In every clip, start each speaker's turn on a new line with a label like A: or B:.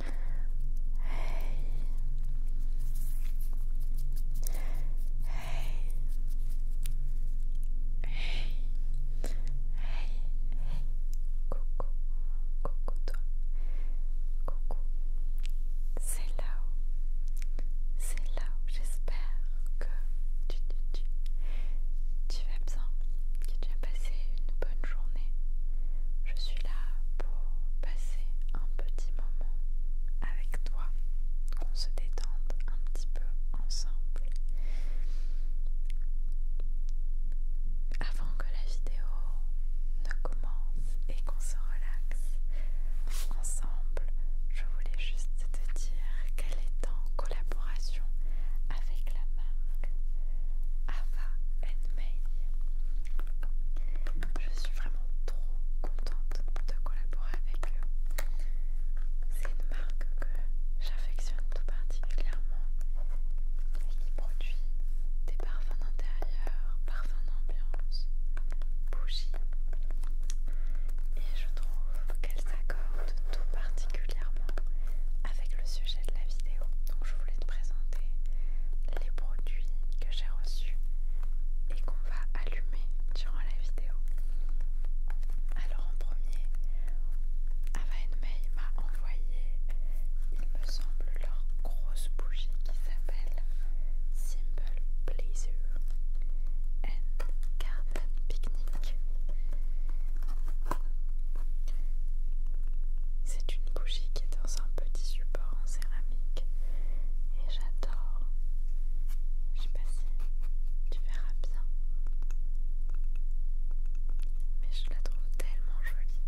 A: Hey Hey Hey hey, coucou, coucou toi, coucou, c'est là-haut, c'est là-haut, j'espère que tu, tu, tu, tu vas que passer une bonne journée. Je suis là pour passer un petit moment avec toi, qu'on se détende un petit peu ensemble. Avant que la vidéo ne commence et qu'on se relaxe ensemble, je voulais juste te dire qu'elle est en collaboration avec la marque Ava May. Je suis vraiment trop contente de collaborer avec eux. C'est une marque que j'affectionne tout particulièrement et qui produit des parfums d'intérieur, parfums d'ambiance, bougies. Et je trouve qu'elle s'accorde tout particulièrement avec le sujet de la vidéo. Donc je voulais te présenter les produits que j'ai reçus et qu'on va allumer durant la vidéo. Alors en premier, May m'a envoyé, il me semble, leur grosse bougie qui s'appelle Simple Blazer and Garden Picnic. C'est une bougie qui est dans un petit support en céramique et j'adore. Je sais pas si tu verras bien, mais je la trouve tellement jolie.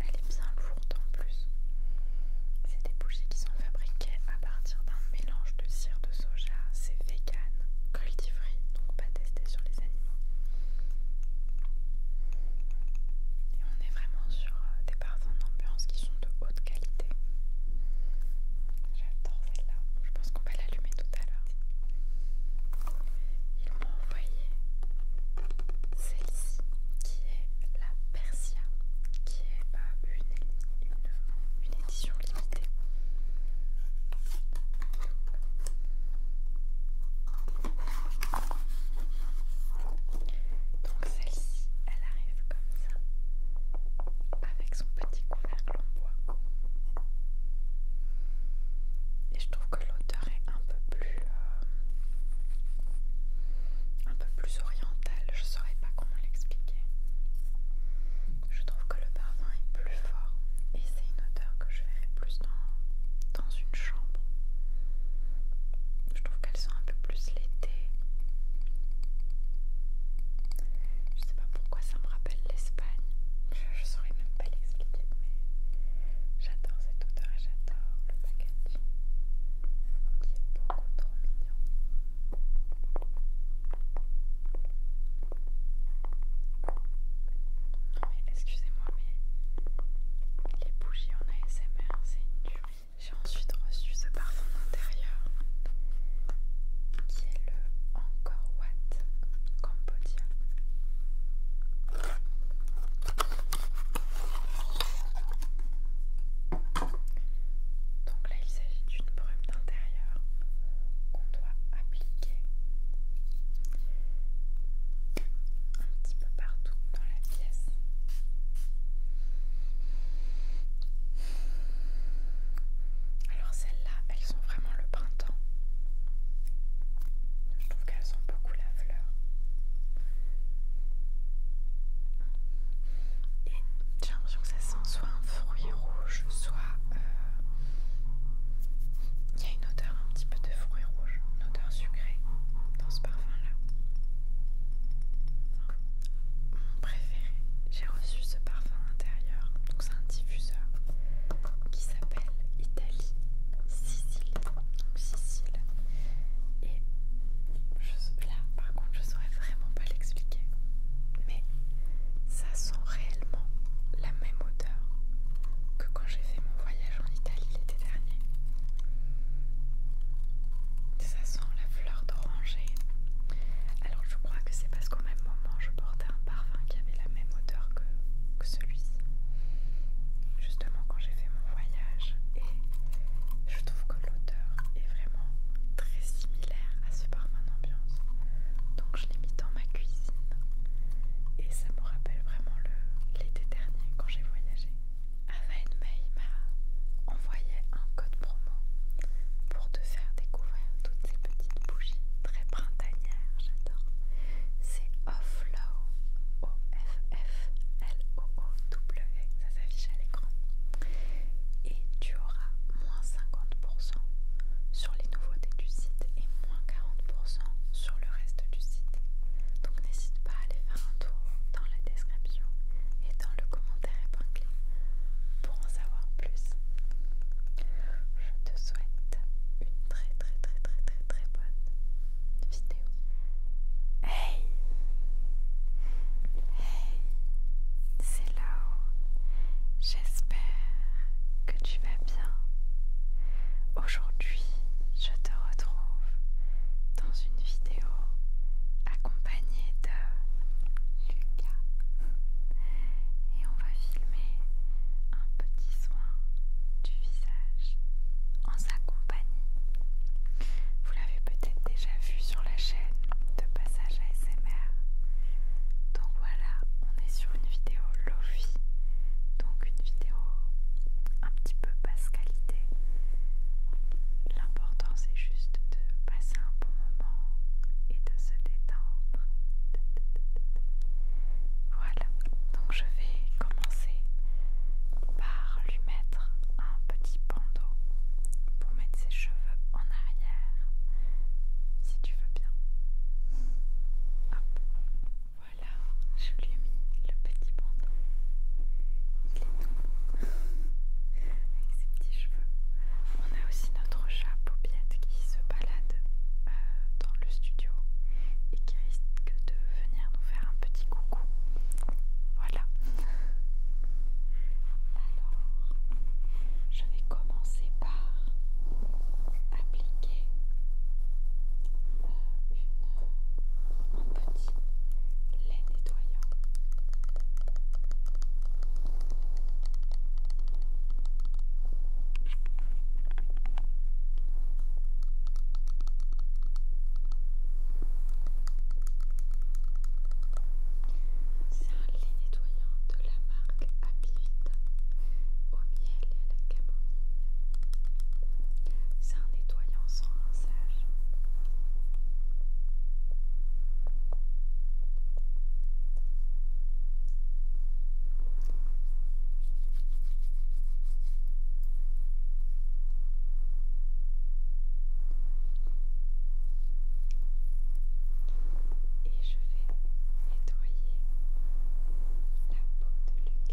A: Elle est bien lourde en plus. C'est des bougies qui sont fabriquées à partir d'un mélange de cire de soja. C'est vegan, cruelty donc pas testé sur les animaux. Et on est vraiment sur euh, des en ambiance qui sont de haute qualité. J'adore celle-là. Je pense qu'on va l'allumer tout à l'heure. Ils m'ont envoyé celle-ci qui est la Persia, qui est euh, une édition limitée. Donc celle-ci, elle arrive comme ça, avec son petit couvercle en bois. Et je trouve que l'odeur est un peu plus, euh, un peu plus orientale. Je saurais pas comment l'expliquer. Je trouve que le parfum est plus fort et c'est une odeur que je verrai plus dans dans une chambre. Je trouve qu'elles sont un peu plus l'été. Je sais pas pourquoi ça me rappelle l'Espagne. Je, ne saurais même pas l'expliquer, mais j'adore cette odeur et j'adore le packaging qui est beaucoup trop mignon. Non mais excusez-moi mais les bougies en ASMR c'est une J'ai ensuite reçu ce parfum d'intérieur qui est le Encore Watt Cambodia. Donc là il s'agit d'une brume d'intérieur qu'on doit appliquer un petit peu partout dans la pièce. Alors celles-là, elles sont vraiment le printemps. Je trouve qu'elles sont beaucoup la fleur. Et j'ai l'impression que ça sent soit un fruit rouge, soit... Euh, il y a une odeur un petit peu de fruits rouges, une odeur sucrée dans ce parfum-là. mon préféré, j'ai reçu ce parfum intérieur, donc c'est un diffuseur qui s'appelle Italie, Sicile, donc Sicile. Et là, par contre, je saurais vraiment pas l'expliquer, mais ça sent réellement la même odeur que quand j'ai fait mon voyage en Italie l'été dernier. Ça sent la fleur d'oranger. Alors je crois que c'est parce qu'au même moment je portais un parfum qui avait la même odeur que, celui-ci. Justement quand j'ai fait mon voyage. Et je trouve que l'odeur est vraiment très similaire à ce parfum d'ambiance. Donc je l'ai mis dans ma cuisine. Et ça me rappelle vraiment l'été dernier quand j'ai voyagé. May m'a envoyé un code promo pour te faire découvrir toutes ces petites bougies très printanières, j'adore. C'est Offlow, O-F-F-L-O-O-W, e, ça s'affiche à l'écran. Et tu auras moins 50% sur les nouveautés du site et moins 40% sur le reste du site. Donc n'hésite pas à aller faire un tour dans la description et dans le commentaire épinglé pour en savoir plus. Je te souhaite une très très très très très très bonne vidéo. Hey Hey C'est là J'espère que tu vas bien. Aujourd'hui, je te retrouve dans une vidéo accompagnée de Lucas et on va filmer un petit soin du visage en sa compagnie. Vous l'avez peut-être déjà vu sur la chaîne de Passage ASMR. Donc voilà, on est sur une vidéo Lofi, donc une vidéo un petit peu peut peu basse qualité. L'important c'est juste de passer un bon moment et de se détendre. Voilà, donc je vais commencer par lui mettre un petit bandeau pour mettre ses cheveux en arrière, si tu veux bien. Voilà, je lui ai mis le petit bandeau. Il est tout Avec ses petits cheveux. On a aussi notre chat Paubiette qui se balade euh, dans le studio et qui risque de venir nous faire un petit coucou. Voilà. Alors, je vais commencer par appliquer euh, une un petit lait nettoyant. C'est un lait nettoyant de la marque Happy au miel et à la camomille. C'est un nettoyant sans rinçage. Et je vais nettoyer la peau de Lucas en douceur.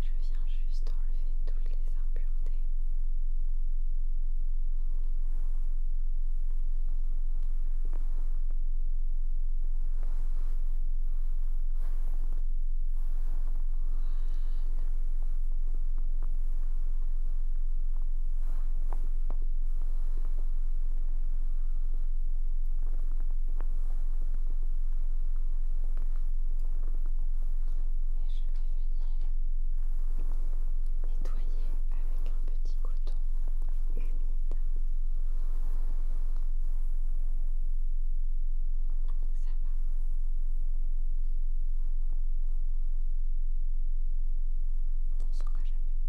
A: Je viens juste enlever toutes les impuretés. Et je vais venir nettoyer avec un petit coton humide. Ça va. On ne saura jamais.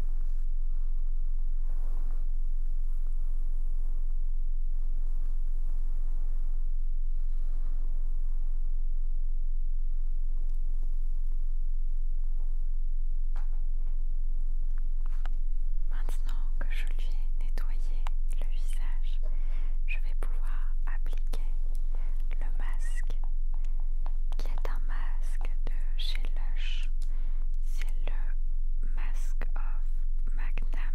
A: Maintenant que je lui ai nettoyé le visage, je vais pouvoir appliquer le masque qui est un masque de chez Lush c'est le masque of Magna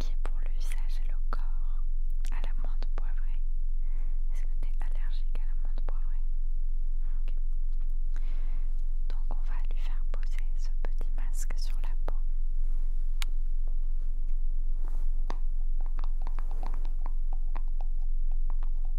A: qui est pour le visage et le corps à la menthe poivrée. Est-ce que tu es allergique à la menthe poivrée Donc on va lui faire poser ce petit masque sur la peau.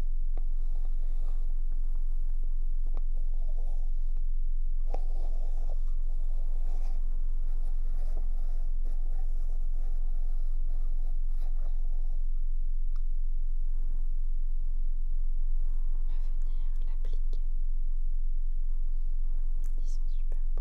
A: venir l'appliquer. Ils sont super beaux.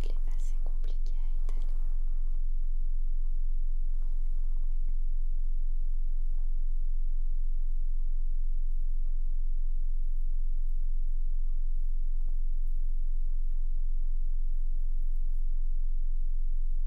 A: Il est assez compliqué à étaler.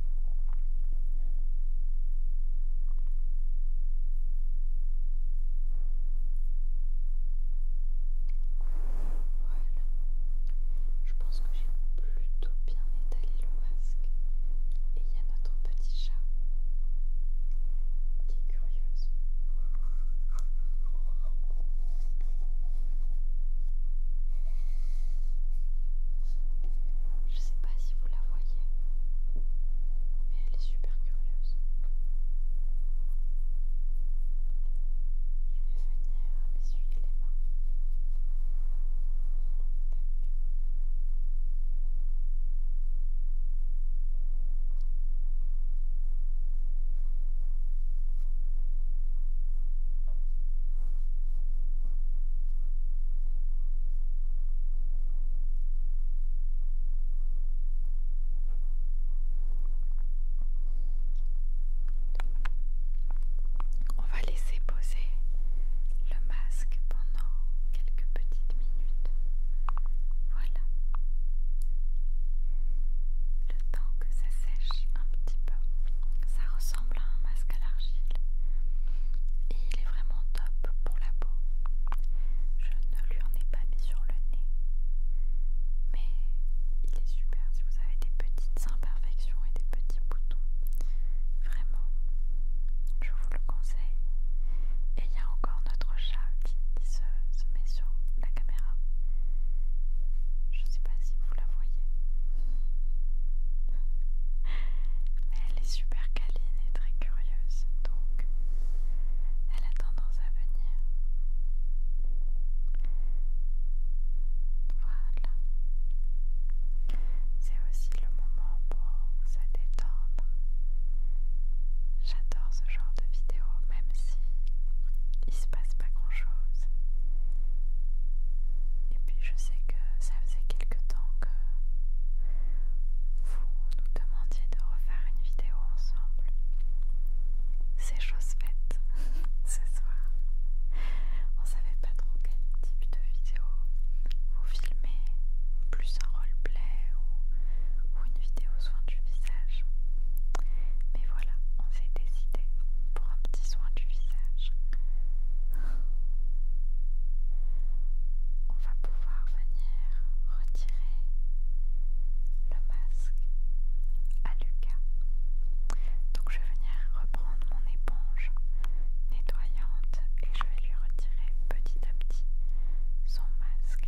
A: Voilà. Je pense que j'ai plutôt bien étalé le masque. Et il y a notre petit chat qui est curieuse. Je sais pas si vous la voyez, mais elle est super curieuse. Je vais venir m'essuyer les mains. On va laisser poser le masque pendant quelques petites minutes. Voilà. Le temps que ça sèche un petit peu. Ça ressemble à un masque à l'argile et il est vraiment top pour la peau. Je ne lui en ai pas mis sur le nez, mais il est super si vous avez des petites imperfections et des petits boutons. Vraiment, je vous le conseille. Et il y a encore notre chat qui, se, met sur la caméra. Je sais pas si vous la voyez. Mais elle est super calée très curieuse, donc elle a tendance à venir. Voilà. C'est aussi le moment pour se détendre. J'adore ce genre de vidéo, même si il se passe pas grand chose. Et puis je sais que ça faisait quelque temps que vous nous demandiez de refaire une vidéo ensemble. C'est chose faite ce soir. On savait pas trop quel type de vidéo vous filmez, plus un roleplay ou une vidéo soin du visage. Mais voilà, on s'est décidé pour un petit soin du visage on va pouvoir venir retirer le masque à Lucas. Donc je vais venir reprendre mon éponge nettoyante et je vais lui retirer petit à petit son masque.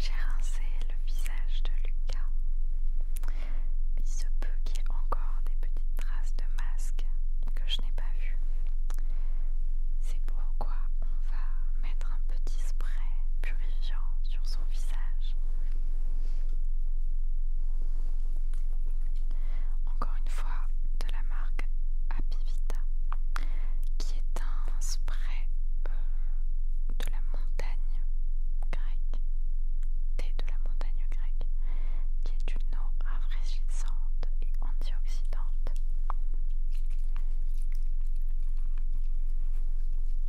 A: J'ai rincé le visage de Lucas. Il se peut qu'il y ait encore des petites traces de masque que je n'ai pas vues. C'est pourquoi on va mettre un petit spray purifiant son visage. Encore une fois de la marque Apivita, qui est un spray euh, de la montagne grecque, thé de la montagne grecque, qui est une eau rafraîchissante et antioxydante.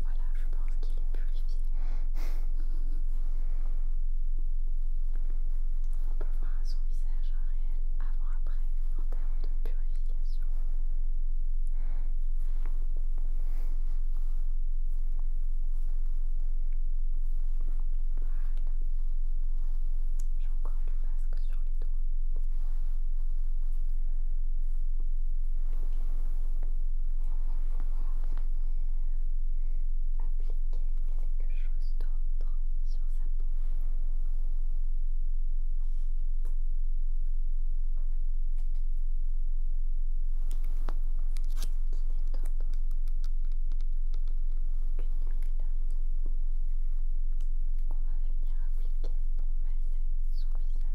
A: Voilà, je pense qu'il est purifié. On peut voir son visage un réel avant-après en termes de purification. J'ai encore le masque sur les doigts. Et on va pouvoir appliquer quelque chose d'autre sur sa peau. Qui n'est autre qu'une huile on va venir appliquer pour masser son visage.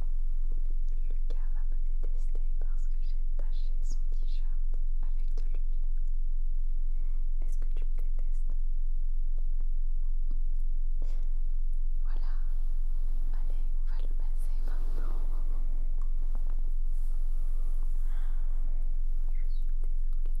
A: Lucas va me détester parce que j'ai taché son t-shirt avec de l'huile. Est-ce que tu me détestes Voilà. Allez, on va le masser maintenant. Je suis désolée. Putain,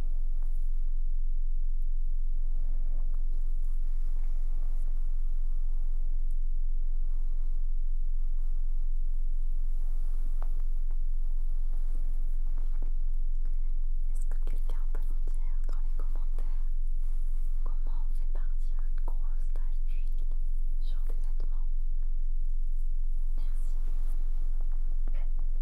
A: Est-ce que quelqu'un peut nous dire dans les commentaires comment on fait partir une grosse tache d'huile sur des vêtements Merci.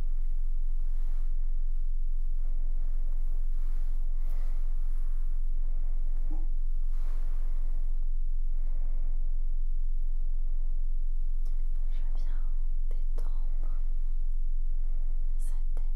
A: Je viens détendre sa tête.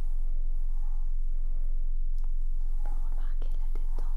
A: Remarquez la détente sur le visage de Lucas.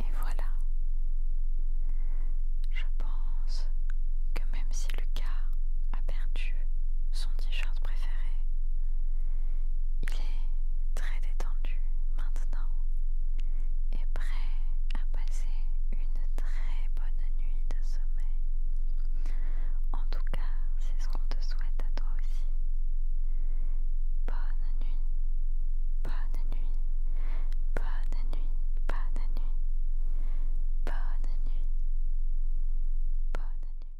A: Et voilà. Je pense que même si Lucas a perdu son t-shirt préféré, il est très détendu maintenant et prêt à passer une très bonne nuit de sommeil. En tout cas, c'est ce qu'on te souhaite à toi aussi. Bonne nuit, bonne nuit, bonne nuit, bonne nuit, bonne nuit, bonne nuit.